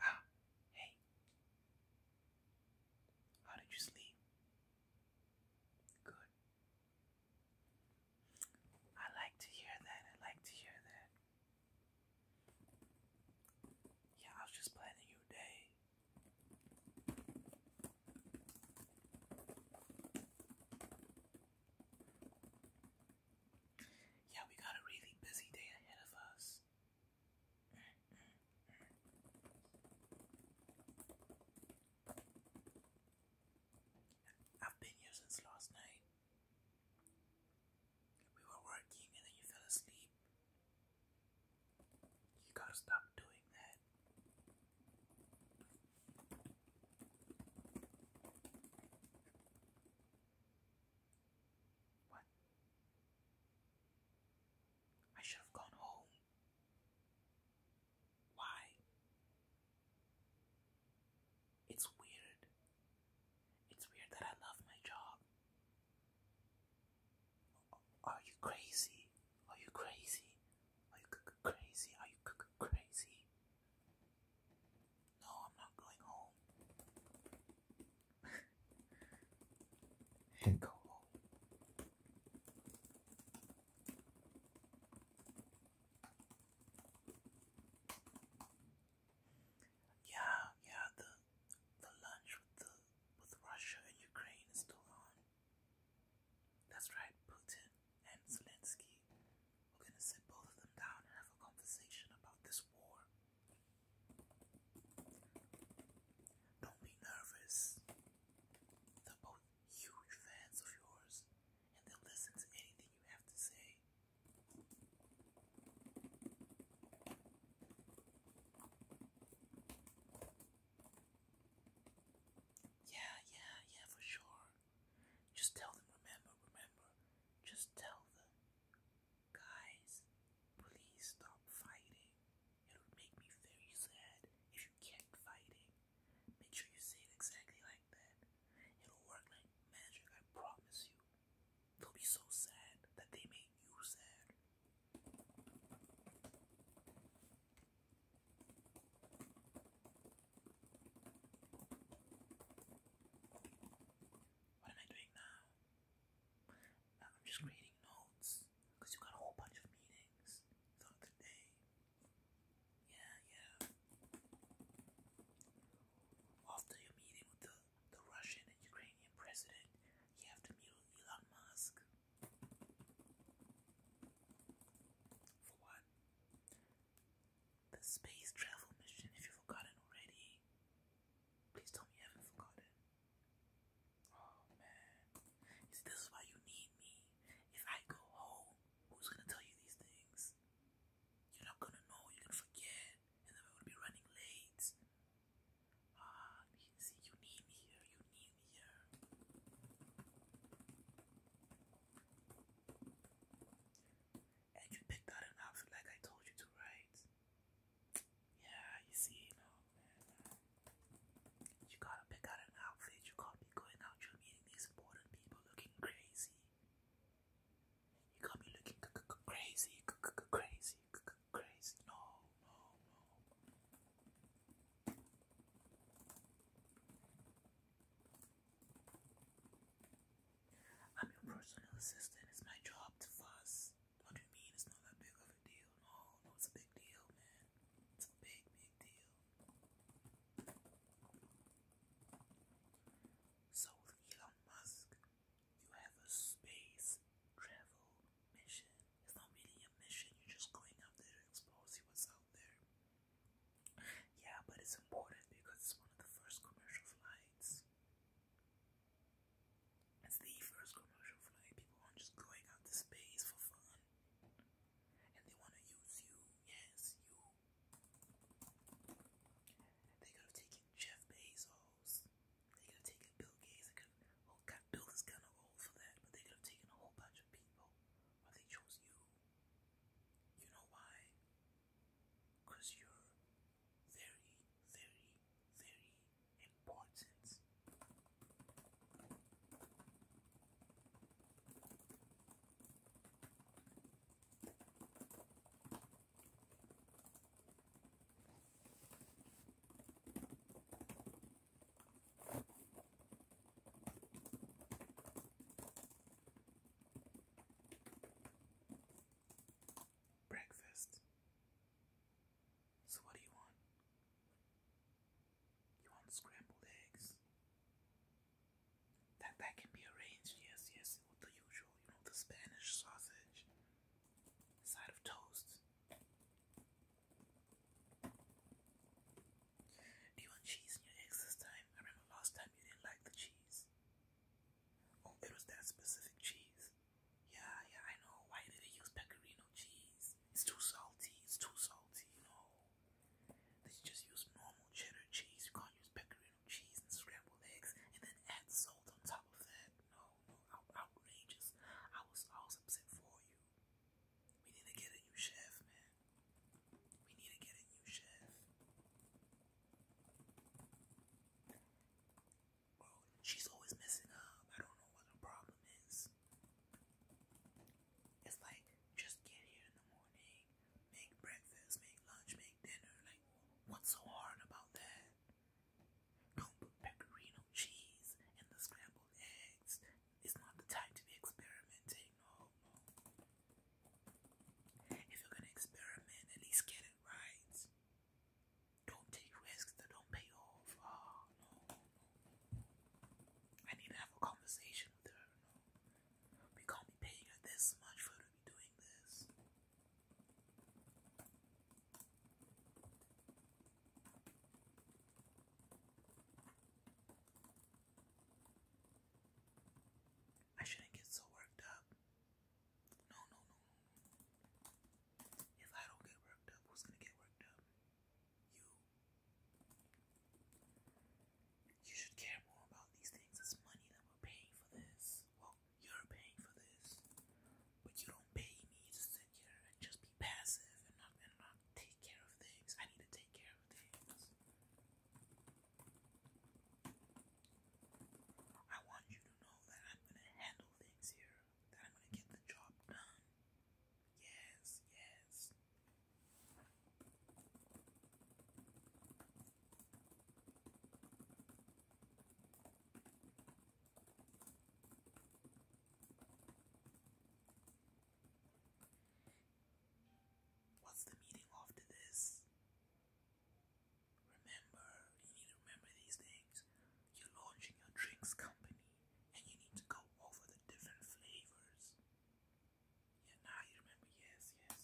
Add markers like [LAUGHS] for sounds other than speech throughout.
Ah, hey. How did you sleep? Good. I like to hear that. I like to hear that. Yeah, I was just planning your day. Yeah, we got a really busy day ahead of us. I've been here since last night. We were working and then you fell asleep. You gotta stop doing that. What? I should have gone home. Why? It's weird. It's weird that I love my job. Are you crazy? Are you crazy? Are you crazy? Are you crazy? No, I'm not going home. and go home. Yeah, yeah, the the lunch with the with Russia and Ukraine is still on. That's right, Putin and Zelensky we're gonna sit both of them down and have a conversation about this war. Don't be nervous. They're both huge fans of yours, and they'll listen to anything you have to say. Yeah, yeah, yeah, for sure. Just tell them, remember, remember. Just tell them. Guys, please stop fighting. It would make me very sad if you kept fighting. Make sure you say it exactly like that. It'll work like magic, I promise you. They'll be so sad that they made you sad. What am I doing now? Uh, I'm just creating notes because you've got a whole bunch of meetings throughout the day. Yeah, yeah. After your meeting with the, the Russian and Ukrainian president, you have to meet with Elon Musk. For what? The space travel mission, if you've forgotten already. Please tell me you haven't forgotten. Oh man. this is why you need me. If I go home, who's gonna tell you these things? You're not gonna know, you're gonna forget, and then we're gonna be running late. Ah, see, you need me here, you need me here and you picked out an outfit like I told you to, right? Yeah, you see, you know, man, you gotta pick out an outfit. You can't be going out. You're meeting these important people looking crazy. You can't looking crazy, crazy, crazy. No, no, no. I'm your personal assistant. It's my job to fuss. What do you mean it's not that big of a deal? No, no, it's a big deal, man. It's a big, big deal. So, with Elon Musk, you have a space travel mission. It's not really a mission, you're just going out there to explore, see what's out there. Yeah, but it's important because it's one of the first commercial flights. It's the first commercial flight. People aren't just going out to space for fun. And they want to use you. Yes, you. They could have taken Jeff Bezos. They could have taken Bill Gates. They could have, oh God, Bill is kind of old for that, but they could have taken a whole bunch of people. But they chose you. You know why? Because you're very, very, very important. Breakfast. So, what do you want? You want scrambled eggs? That that can be arranged, yes, yes, with the usual, you know, the Spanish sausage, side of toast. Do you want cheese in your eggs this time? I remember last time you didn't like the cheese. Oh, it was that specific cheese. Yeah, yeah, I know. Why did they use pecorino cheese? It's too salty. It's too salty. No, they just use normal cheddar cheese. You can't use pecorino cheese and scrambled eggs, and then add salt on top of that. No, no, outrageous. I was, I upset for you. We need to get a new chef, man. We need to get a new chef. she's always messing up. I don't know what the problem is. It's like just get here in the morning, make breakfast, make lunch, make dinner. Like, what's so hard about that? Don't put pecorino cheese and the scrambled eggs it's not the time to be experimenting. No, If you're gonna experiment, at least get it right. Don't take risks that don't pay off. Ah, no, no. I need to have a conversation with her. No, we can't be paying her this much for to be doing this. I shouldn't get so worked up. No, no, no, no. If I don't get worked up, who's gonna get worked up? You. You should care more about these things. It's money that we're paying for this. Well, you're paying for this. But you don't pay me to sit here and just be passive and not, take care of things. I need to take care of things. I want you to know that I'm gonna handle things here, that I'm gonna get the job done. Yes, yes. What's the meaning after this? Remember, you need to remember these things. You're launching your drinks company and you need to go over the different flavors. Yeah, now you remember, yes, yes.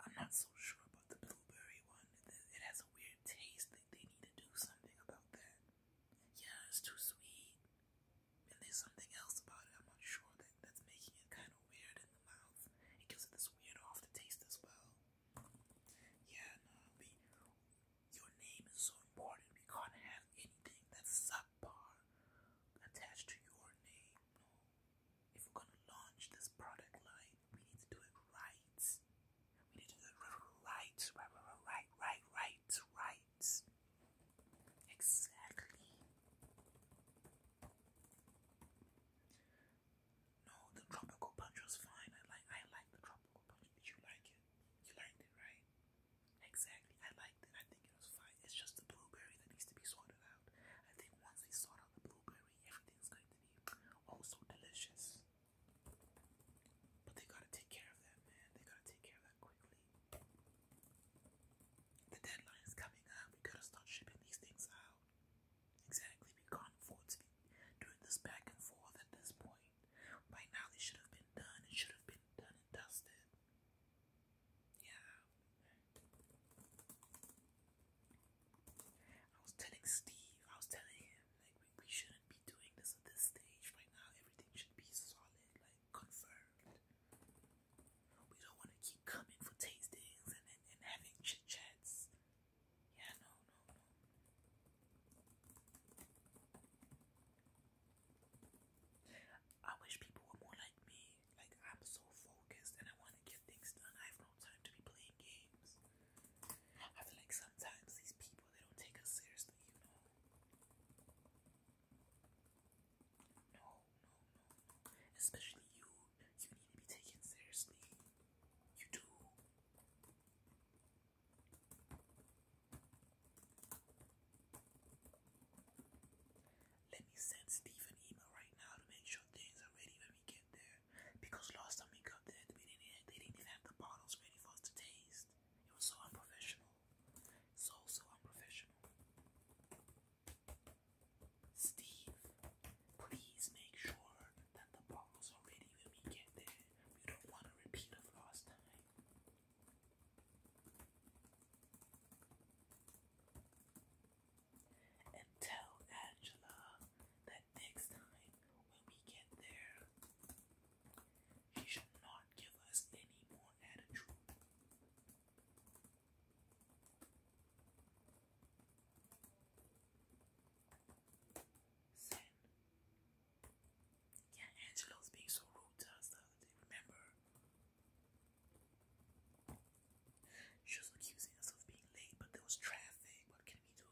I'm not so sure about the blueberry one. It has a weird taste they need to do something about that. Yeah, it's too sweet. And there's something else about it, I'm not sure, that that's making it kind of weird in the mouth. It gives it this weird off as well. Yeah, no, we, your name is so important. We can't have anything that's subpar attached to your name. If we're gonna launch this product line, we need to do it right right, right, right, right, right, Exactly. No, the tropical punch was fine. I like I like the tropical punch. Did you like it? You liked it, right? Exactly. I liked it. I think it was fine. It's just the blueberry that needs to be sorted out. I think once we sort out the blueberry, everything's going to be oh so delicious. But they gotta take care of that, man. They gotta take care of that quickly. The deadline is coming up. We gotta start shipping these things out. Exactly. We can't afford to be doing this back and forth at this point. By now, this should have been done. It should have been done and dusted. Yeah. I was telling Steve, I was telling him, like, we, shouldn't be doing this at this stage right now. Everything should be solid, like, confirmed. We don't want to keep coming for tastings and, and, having chit chats. Yeah, no, no, no. I wish people were more like me. Like, I'm so focused and I want to get things done. I have no time to be playing games. I feel like sometimes these people they don't take us seriously, you know. No, no, no, Especially you. You need to be taken seriously. You do. Let me send Steve an email right now to make sure things are ready when we get there. Because last time we got there, we didn't, they didn't even have the bottles ready for us to taste. It was so unprofessional. So, so unprofessional. Steve, please make sure that the bottles are ready when we get there. We don't want to repeat of last time. And tell Angela that that next time, when we get there, she should not give us any more attitude. Sin. Yeah, Angelo's being so rude to us the remember? She was accusing us of being late, but there was traffic. What can we do?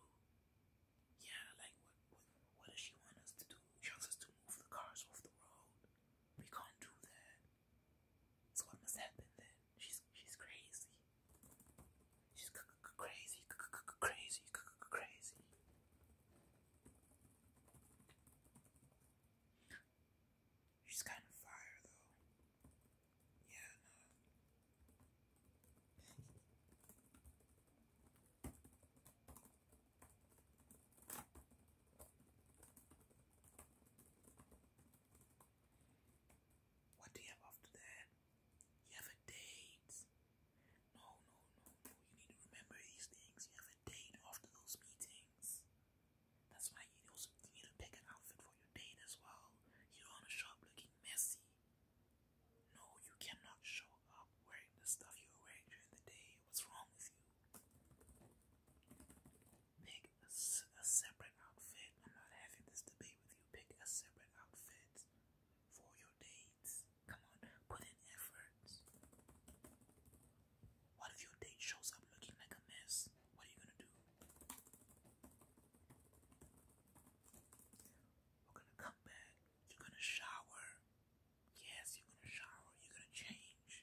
Yeah, like what? What, what does she want us to do? She wants us to move the cars off the road. We can't do that. So what must happen then? She's she's crazy. She's c c crazy, c c crazy, c c crazy. She's kind of fire though. Yeah, what do you have after that? You have a date. No, no, no, no. You need to remember these things. You have a date after those meetings. That's why you also you need to pick an outfit for your date as well. You don't want shop looking messy. No, you cannot show up wearing the stuff you were wearing during the day. What's wrong with you? Pick a, separate outfit. I'm not having this debate with you. Pick a separate outfit for your dates. Come on, put in effort. What if your date shows up looking like a mess? What are you gonna do? We're gonna come back. You're gonna shower. Yes, you're gonna shower. You're gonna change.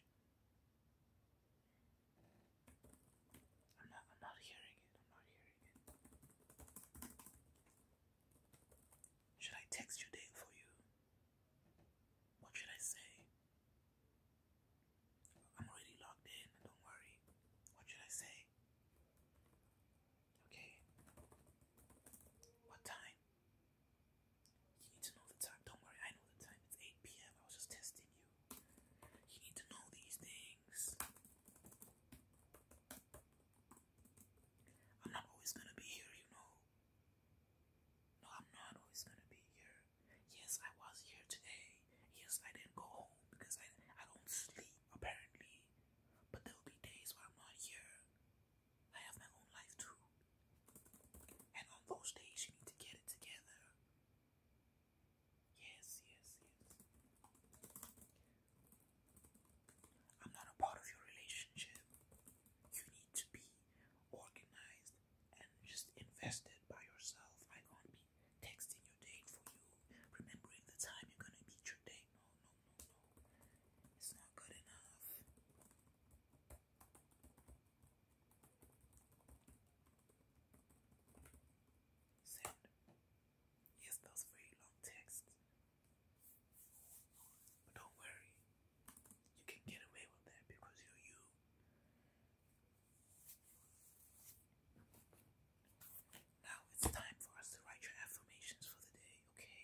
I'm not. I'm not hearing it. I'm not hearing it. Should I text your name for you? What should I say? I'm already logged in, don't worry. What should I say? Okay. What time? You need to know the time. Don't worry, I know the time. It's 8 p.m. I was just testing you. You need to know these things. I'm not always gonna be here, you know. No, I'm not always gonna be here. Yes, I was here today. Yes, I didn't go home because I, I don't sleep, apparently. But there'll be days where I'm not here. I have my own life too. And on those days, you need to get it together. Yes, yes, yes. I'm not a part of your relationship. You need to be organized and just invested by yourself. I can't be texting your date for you, remembering the time you're gonna meet your date. No, no, no, no. It's not good enough. Send. Yes, that very long text. But don't worry, you can get away with that because you're you. Now it's time for us to write your affirmations for the day, okay?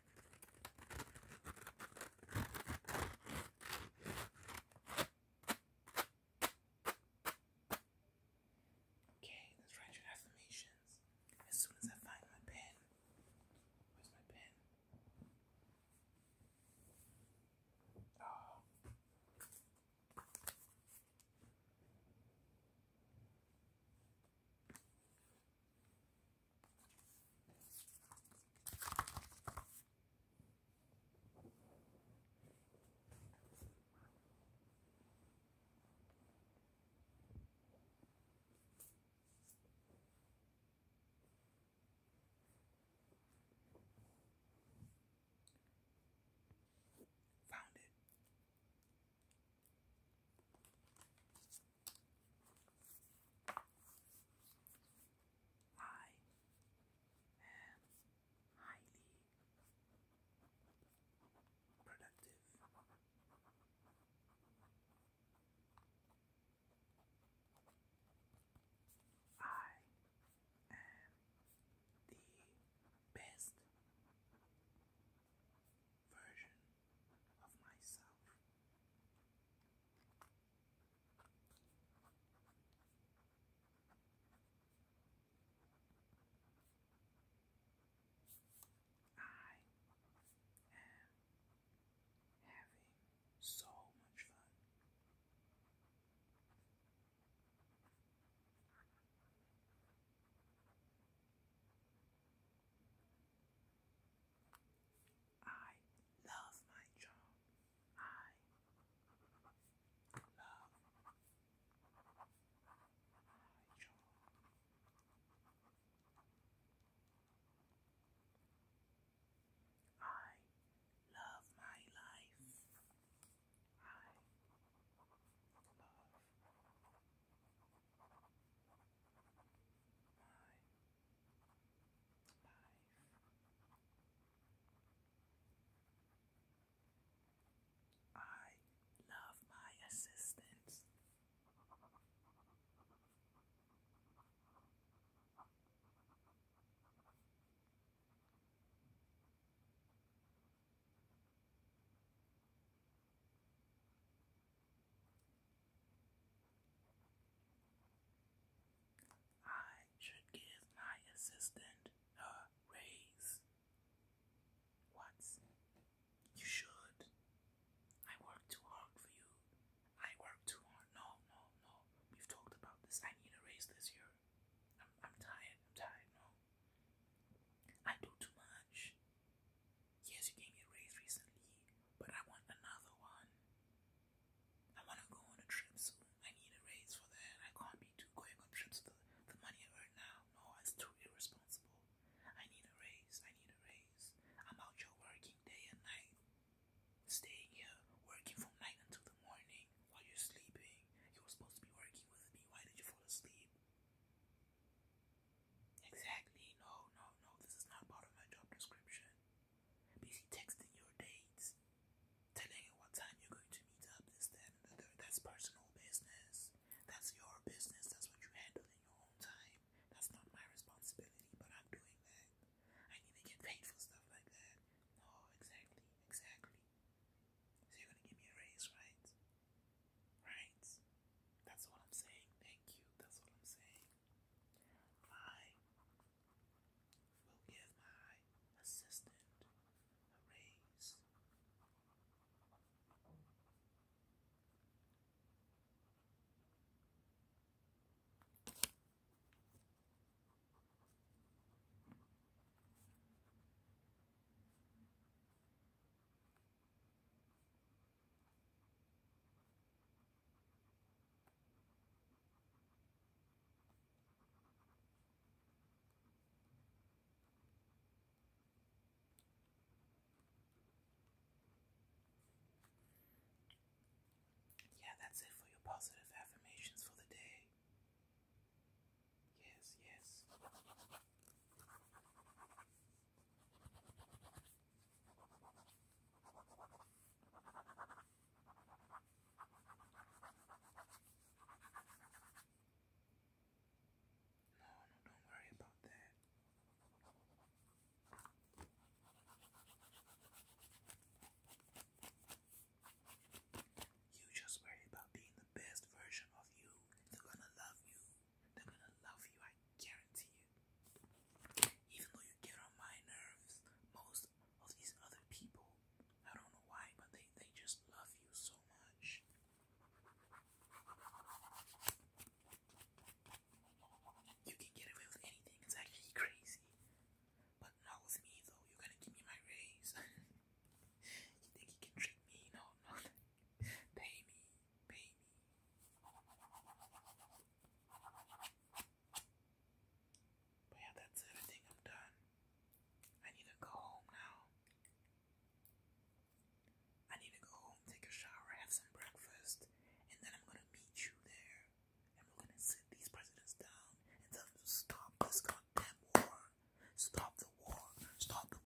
Okay, let's write your affirmations as soon as I find my pen. Where's my pen? Oh. Found it. I am highly productive. I am the best version of myself. I am having so much fun. I love my job. I love my job. I love my life. I love my life. I love my assistants. I should give my assistant a raise. What? You should. I work too hard for you. I work too hard. No, no, no. We've talked about this. I need a raise this year. I'm, tired. I'm tired. No. I do too much. Yes, you gave me a raise recently, but I want another one. I want to go on a trip soon. I need a raise for that. I can't be too going on trips with the, money I earn now. No, it's too irresponsible. I need a raise. I need a raise. I'm out here working day and night. Staying here, working from night until the morning while you're sleeping. You were supposed to be working with me. Why did you fall asleep? Exactly. No, no, no. This is not part of my job description. Busy texting your dates, telling you what time you're going to meet up, this, that, That's personal business. That's your business. That's what you handle in your own time. That's not my responsibility, but I'm doing that. I need to get paid for stuff like that. No, exactly, exactly. So you're gonna give me a raise, right? Right? That's what I'm saying. Thank you. That's what I'm saying. I will give my assistant a raise. Yeah, that's it for your positive affirmations for the day. Yes, yes. No, no, don't worry about that. You just worry about being the best version of you. They're gonna love you. They're gonna love you, I guarantee you. Even though you get on my nerves, most of these other people, I don't know why, but they, they just love you so much. You can get away with anything, it's actually crazy. But not with me though, you're gonna give me my raise. [LAUGHS] you think you can trick me? No, no. [LAUGHS] Pay me baby. But yeah, that's everything I'm done. I need to go home now. I need to go home, take a shower, have some breakfast, and then I'm gonna meet you there. And we're gonna sit these presidents down and tell them to stop this goddamn war. Stop the war. Stop the